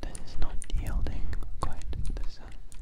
That is not yielding quite the sun.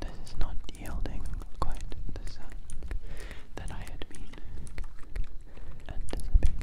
This is not yielding quite the sound that I had been anticipating.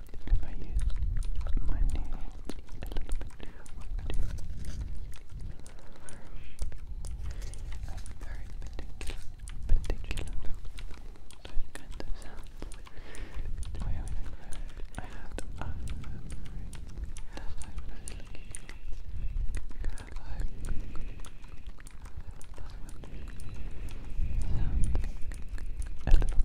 if I use my nails a little bit, what I do, I'm very particular, particular with kind of sounds. The way I was involved, I have to unmemorate. That's why when I was looking I I want to sound a little bit. Different.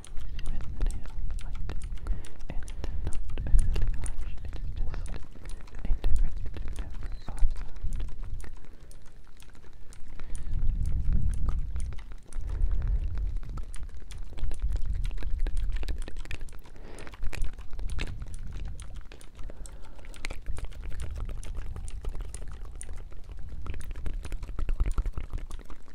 with the nail light. It's not a silly lash, it's just a different type of lash. Thank you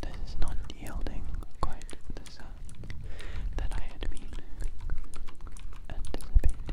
This is not yielding quite the sound that I had been anticipating.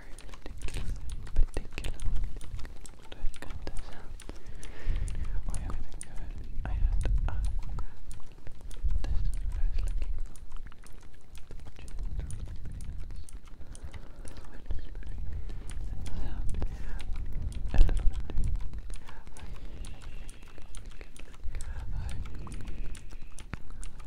very particular, particular when I cut this out. Or everything good I had uh, this is what a little bit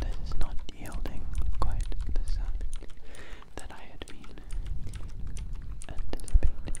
This is not yielding quite the sound that I had been anticipating.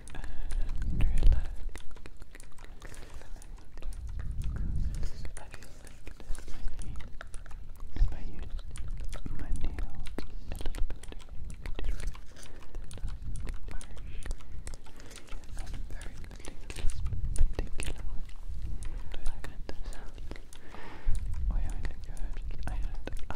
and relax. I feel like If I use my nails a little bit to I'm very particular with those kinds of I think I had, I had, uh,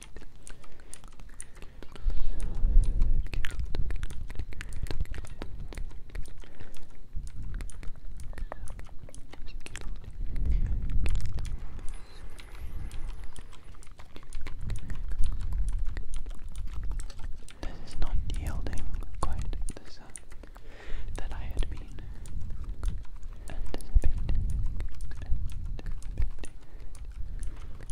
This is not yielding quite the sound that I had been anticipating.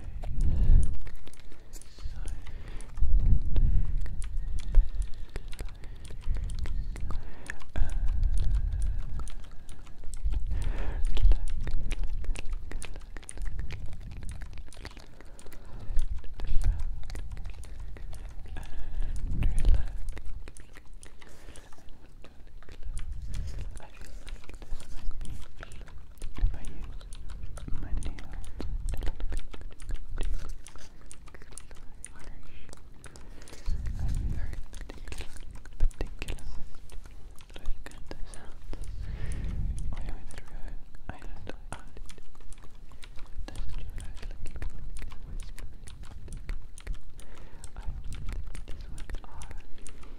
I feel like this might be if I use my nail a little bit too harsh. I'm very particular, particular with those kind of sounds. Way through I had added this looking whispering. I this one R.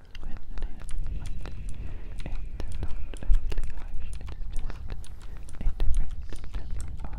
with an hand, but it's not overly harsh, just a different step on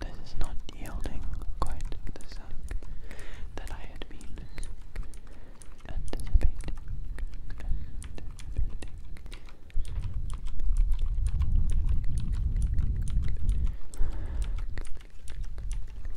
This is not yielding quite the sound that I had been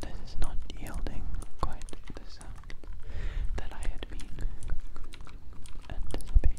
This is not yielding quite the sound that I had been anticipating.